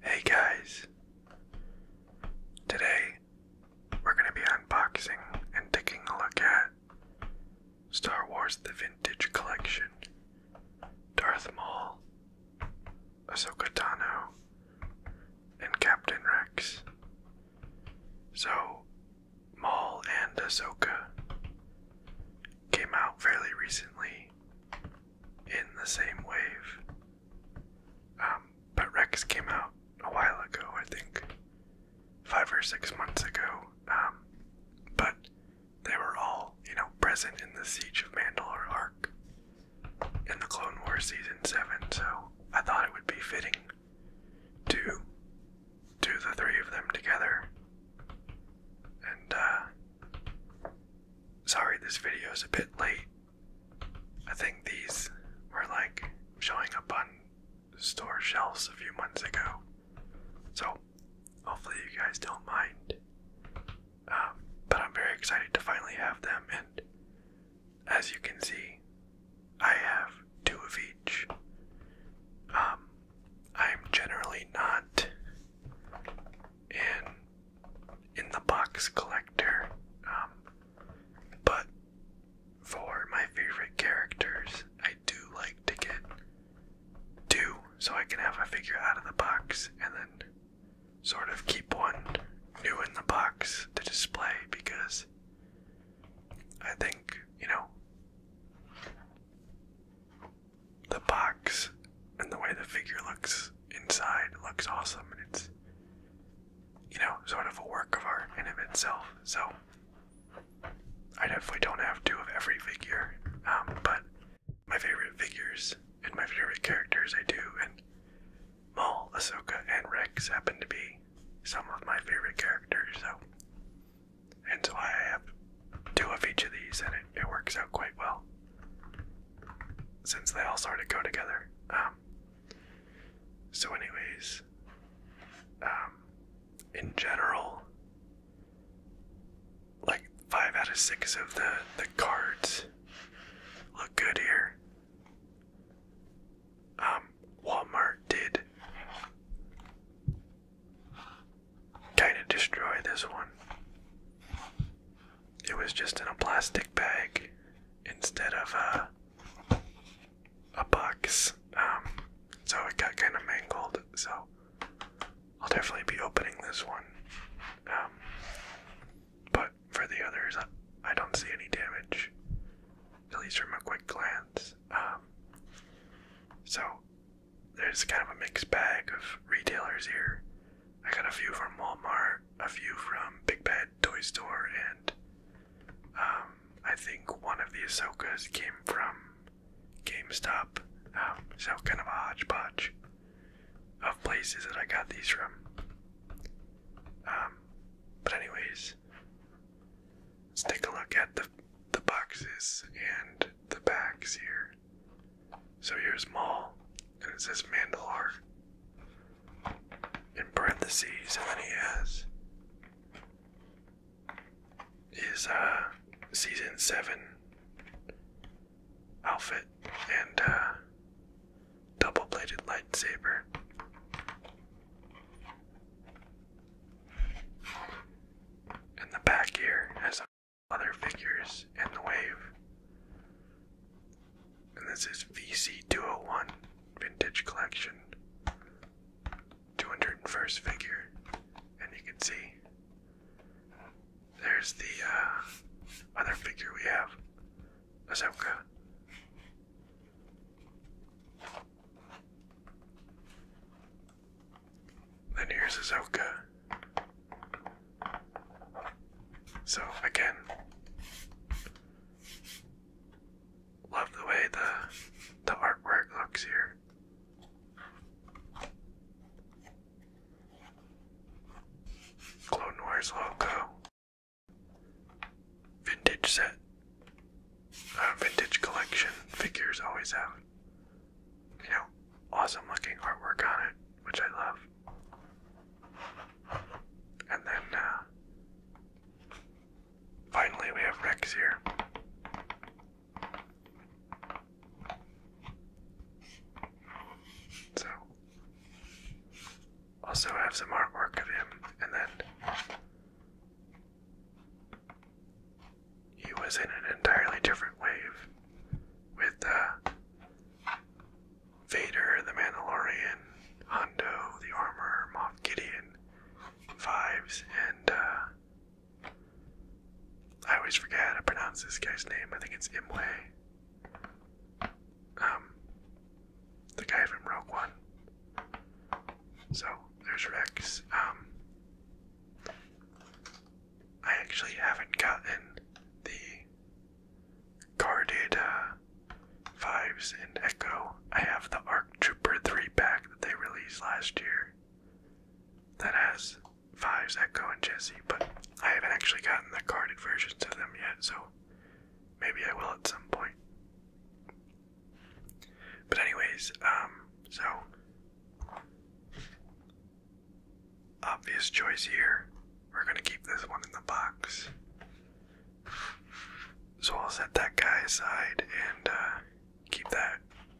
Hey guys! Today we're going to be unboxing and taking a look at Star Wars The Vintage Collection, Darth Maul, Ahsoka Tano, and Captain Rex. So, Maul and Ahsoka came out fairly recently in the same wave. Um, but Rex came out a while ago, I think, five or six months ago. Um, but they were all, you know, present in the Siege of Mandalore arc in the Clone Wars season seven. So I thought it would be fitting to do the three of them together. And uh, Sorry, this video is a bit late. I think these were like showing up on store shelves a few months ago. So, hopefully, you guys don't mind. Um, but I'm very excited to finally have them, and as you can see, I have two of each. Um, I'm generally not an in the box collector, um, but for my favorite characters, I do like to get two so I can have a figure out of the box and then sort of keep one new in the box to display because I think, you know, the box and the way the figure looks inside looks awesome and it's you know sort of a work of art in itself so i definitely don't have two of every figure um, but my favorite figures and my favorite characters i do and Maul, Ahsoka, and Rex happen to be some of my favorite characters, so and so I have two of each of these, and it, it works out quite well since they all sort of go together. Um, so, anyways, um, in general, like five out of six of the the cards look good here. Um, Walmart did Kinda destroy this one. It was just in a plastic bag instead of a a box. Um, so it got kind of mangled. So I'll definitely be opening this one. Um, but for the others, I don't see any damage, at least from a quick glance. Um, so there's kind of a mixed bag of retailers here. I got a few from Walmart, a few from Big Bad Toy Store, and um, I think one of the Ahsokas came from GameStop. Um, so kind of a hodgepodge of places that I got these from. Um, but anyways, let's take a look at the the boxes and the bags here. So here's Maul, and it says Mandalore in parentheses, and then he has his uh, season seven outfit and uh, double-bladed lightsaber. And the back here has other figures in the wave. And this is VC201 Vintage Collection, 201st figure, and you can see there's the uh, other figure we have, Ahsoka. Then here's Azoka. So again, love the way the the artwork looks here. Clone Wars logo. Vintage set. Uh, vintage collection figures always out you know, awesome looking artwork on it, which I love. And then uh, finally, we have Rex here. So, also have some artwork of him, and then he was in an entirely different wave with uh, Vader, the Mandalorian, Hondo, the Armor, Moff Gideon, Fives, and uh, I always forget how to pronounce this guy's name. I think it's Imwe. Um, the guy from Rogue One. So there's Rex. Um, I actually haven't gotten the guarded uh, vibes and Echo. I have the Arc Trooper 3 pack that they released last year that has vibes, Echo, and Jesse, but I haven't actually gotten the guarded versions of them yet, so maybe I will at some point. But anyways, um, so Obvious choice here. We're going to keep this one in the box. So I'll set that guy aside and uh, keep that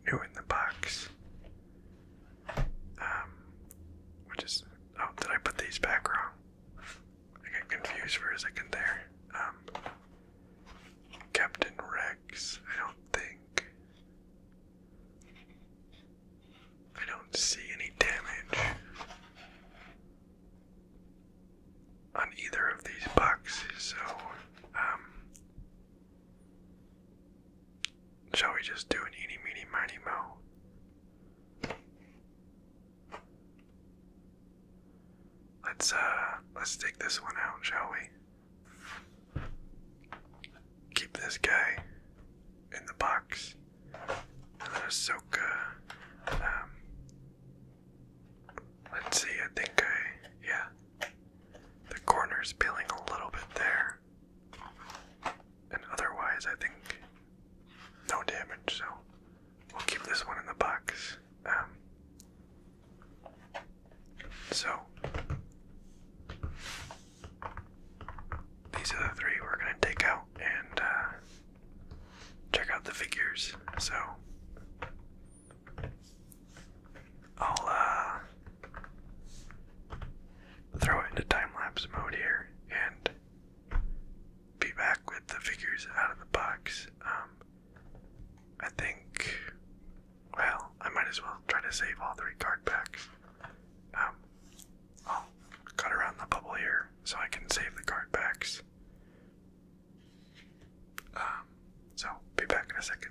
new in the box. Um, which is. Oh, did I put these back wrong? I got confused for a second there. Um, Captain Rex, I don't think. I don't see any damage on either of these boxes, so um, shall we just do an eeny meeny miny mo? Let's uh, let's take this one out, shall we? keep this guy in the box. And us soak. Uh, um, let's see, I think I. Yeah. The corner's peeling a little bit there. And otherwise, I think no damage, so we'll keep this one in the box. Um, so, these are the three we're going to take out and uh, check out the figures. So, I'll uh, throw it into time lapse mode here and be back with the figures out of the box. Um, I think well, I might as well try to save all three card packs. Um, I'll cut around the bubble here so I can save the card packs. Um, so, be back in a second.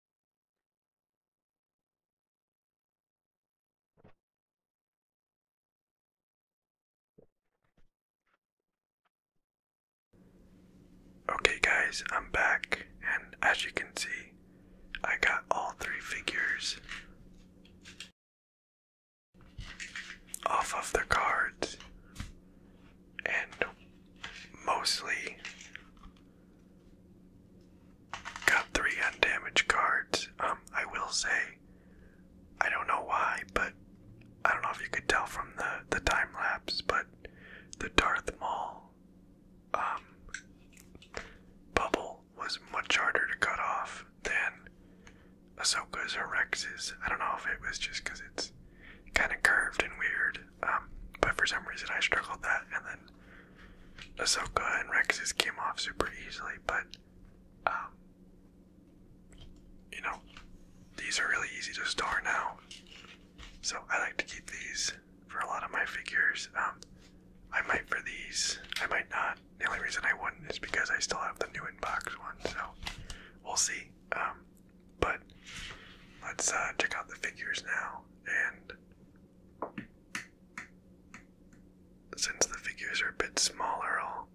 Okay, guys, I'm back, and as you can see, I got all three figures off of the cards and mostly got three undamaged cards. Um, I will say, I don't know why, but I don't know if you could tell from the the time lapse, but the Darth Maul um bubble was much harder to cut off than Ahsoka's or Rex's. I don't know if it was just because it's kind of curved and weird. Um, but for some reason, I struggled that, and then Ahsoka and Rex's came off super easily. But um, you know, these are really easy to store now, so I like to keep these for a lot of my figures. Um, I might for these, I might not. The only reason I wouldn't is because I still have the new in box one, so we'll see. But let's uh, check out the figures now. And since the figures are a bit smaller, I'll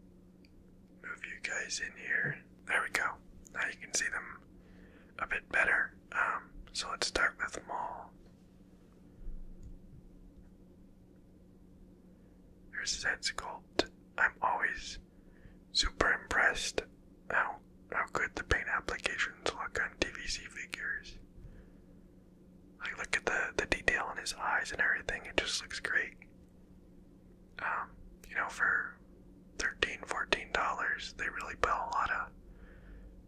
move you guys in here. There we go. Now you can see them a bit better. Um, so let's start with Maul. Here's his head I'm always super impressed how how good the paint applications look on DVC figures. Like look at the the detail in his eyes and everything. It just looks great. Um, you know, for 13 14 dollars, they really put a lot of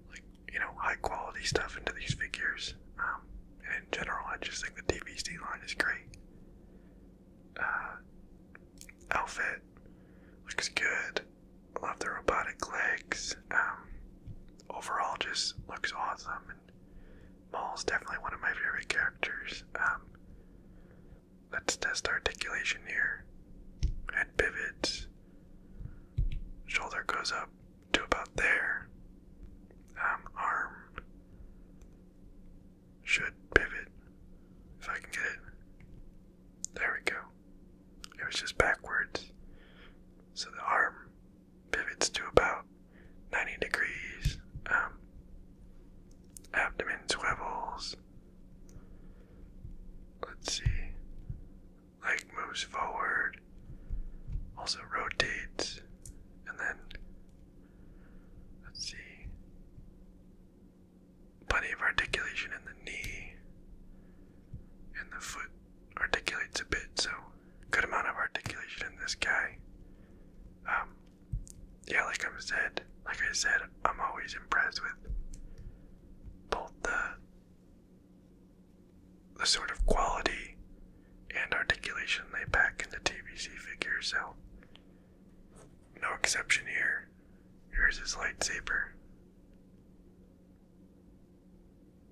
like you know high quality stuff into these figures. Um, and in general, I just think the DVC line is great. Uh, outfit looks good. Love the robotic legs. Um, overall, just looks awesome. And Maul's definitely one of my favorite characters. Um, let's test articulation here. Head pivots. Shoulder goes up to about there. Um, arm should pivot if I can get it. There we go. It was just backwards. So the arm pivots to about 90 degrees. Um, abdomen swivels. Let's see. Leg moves forward. Also rotates. And then, let's see plenty of articulation in the knee, and the foot articulates a bit, so good amount of articulation in this guy. Um, yeah, like I said, like I said, I'm always impressed with both the the sort of quality and articulation they pack in the TBC figures. So no exception here. Here's his lightsaber.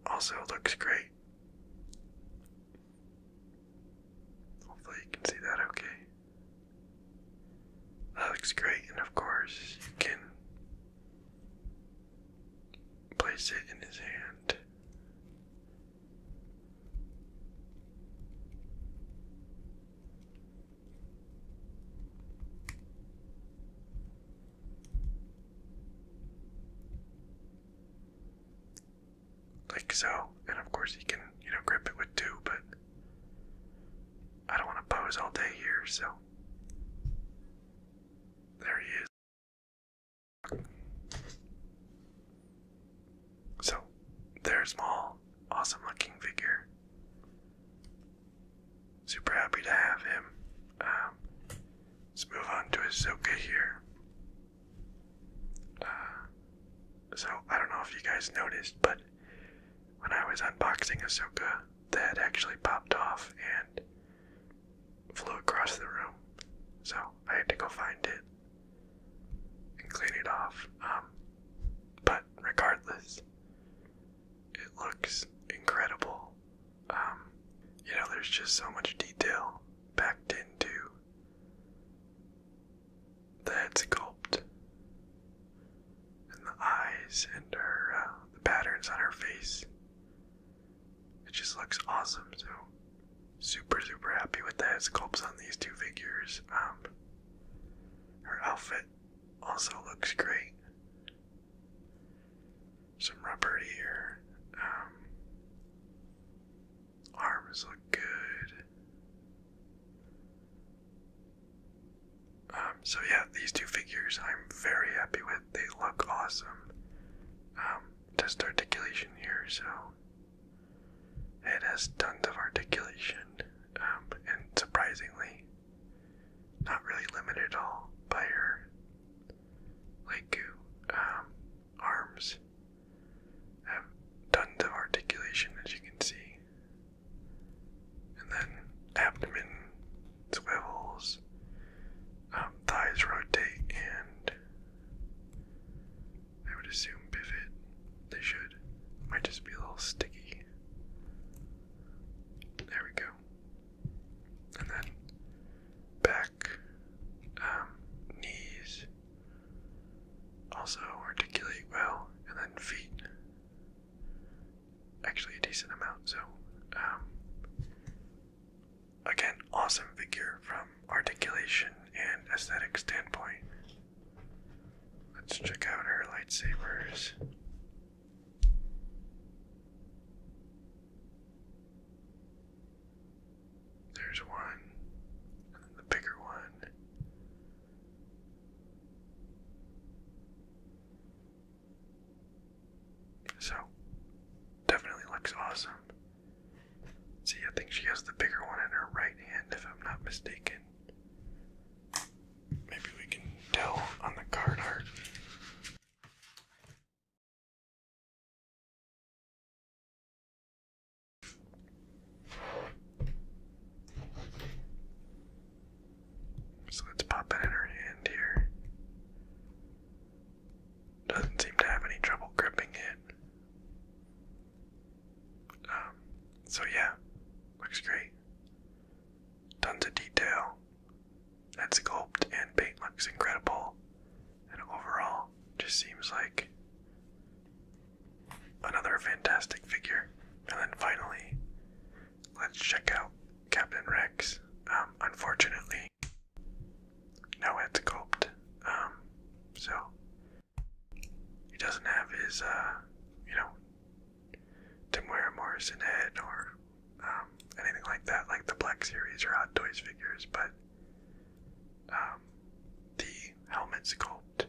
Also looks great. Hopefully, you can see that okay. That looks great, and of course, you can place it in his hand. Like so, and of course you can, you know, grip it with two, but I don't want to pose all day here, so there he is. So, there's more awesome looking figure. Super happy to have him. Um, let's move on to Ahsoka here. Uh, so, I don't know if you guys noticed, but when I was unboxing a the that actually popped off and flew across the room. So, I had to go find it and clean it off. Um, but regardless, it looks incredible. Um, you know, there's just so much detail packed into the head sculpt and the eyes and her uh, the patterns on her face. It just looks awesome. So super super happy with the head sculpts on these two figures. Um, her outfit also looks great. Some rubber here. Um, arms look good. Um, so yeah, these two figures I'm very happy with. They look awesome. Um, test articulation here, so it has tons of articulation, um, and surprisingly, not really limited at all by her like um, arms. Have um, tons of articulation, as you can see, and then abdomen swivels, thighs rotate, and I would assume pivot. They should. Might just be a little sticky. There we go. And then back, um, knees. Also articulate well, and then feet. Actually, a decent amount. So, um, again, awesome figure from articulation and aesthetic standpoint. Let's check out her lightsabers. There's one, and then the bigger one. So, definitely looks awesome. See, I think she has the bigger one in her right hand, if I'm not mistaken. Maybe we can tell on the card art. So let's pop that in her hand here. Doesn't seem to have any trouble gripping it. Um, so yeah, looks great. Tons of detail. That sculpt and paint looks incredible. And overall, just seems like another fantastic figure. And then finally, let's check out Captain Rex. Um, unfortunately, no head sculpt. Um, so he doesn't have his, uh, you know, Timware Morrison head or um, anything like that, like the Black Series or Hot Toys figures, but um, the helmet sculpt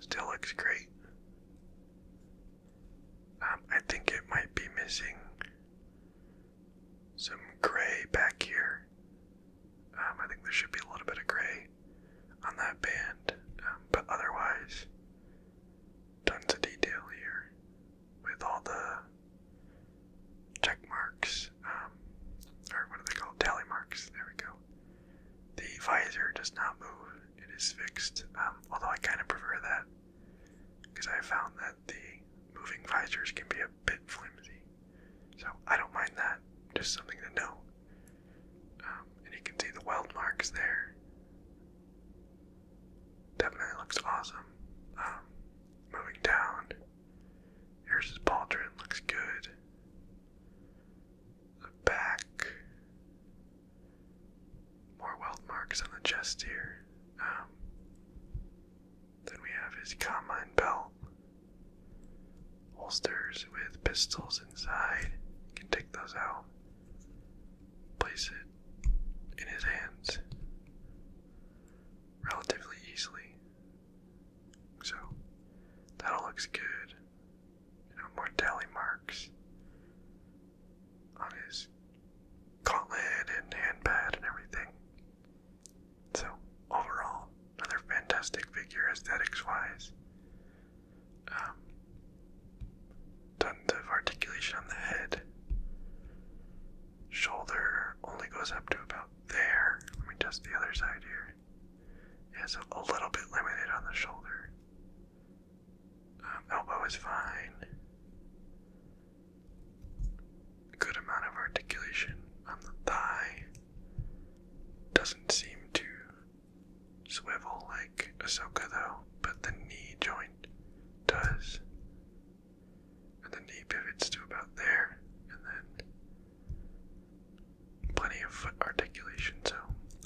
still looks great. Um, I think it might be missing some gray back here um, I think there should be a little bit of gray on that band, um, but otherwise, tons of detail here with all the check marks, um, or what are they called? Tally marks. There we go. The visor does not move, it is fixed, although I kind of prefer that because I found that the moving visors can be a bit flimsy. So I don't mind that. Just something to know. Um, and you can see the weld marks there. Definitely looks awesome. Um, moving down, here's his pauldron. Looks good. The back, more weld marks on the chest here. Um, then we have his combine belt holsters with pistols inside. You can take those out, place it in his hands relatively easily. So that all looks good. You know, more tally marks on his gauntlet and handpad and everything. So, overall, another fantastic figure aesthetics wise. Um, of articulation on the head. Shoulder only goes up to about there. Let me test the other side here. Yeah, a little bit limited on the shoulder. Um, elbow is fine. Good amount of articulation on the thigh. Doesn't seem to swivel like Ahsoka though, but the knee joint does. And the knee pivots to about there, and then plenty of foot articulation, so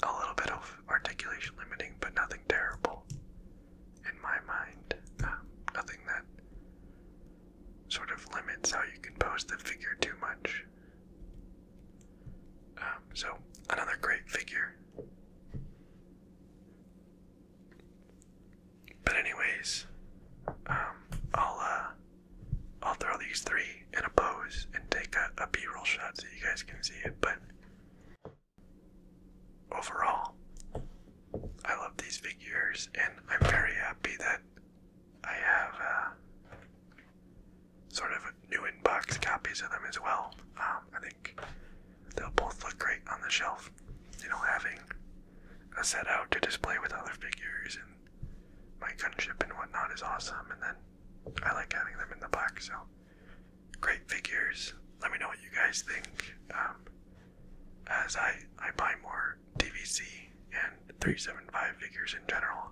a little bit of articulation limiting, but nothing terrible in my mind. Um, nothing that sort of limits how you can pose the figure too much. Um, so, another great figure. But anyways, um, I'll uh, I'll throw these three in a pose and take a, a B-roll shot so you guys can see it. But overall, I love these figures, and I'm very happy that I have uh, sort of new in-box copies of them as well. Um, I think they'll both look great on the shelf. You know, having a set out to display with other figures and my gunship and whatnot is awesome. And then I like having them in the box. So great figures. Let me know what you guys think. Um, as I I buy more DVC and 375 figures in general.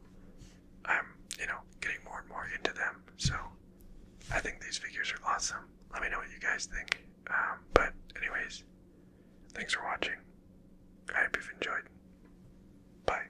I'm, you know, getting more and more into them, so I think these figures are awesome. Let me know what you guys think. Um, but, anyways, thanks for watching. I hope you've enjoyed. Bye.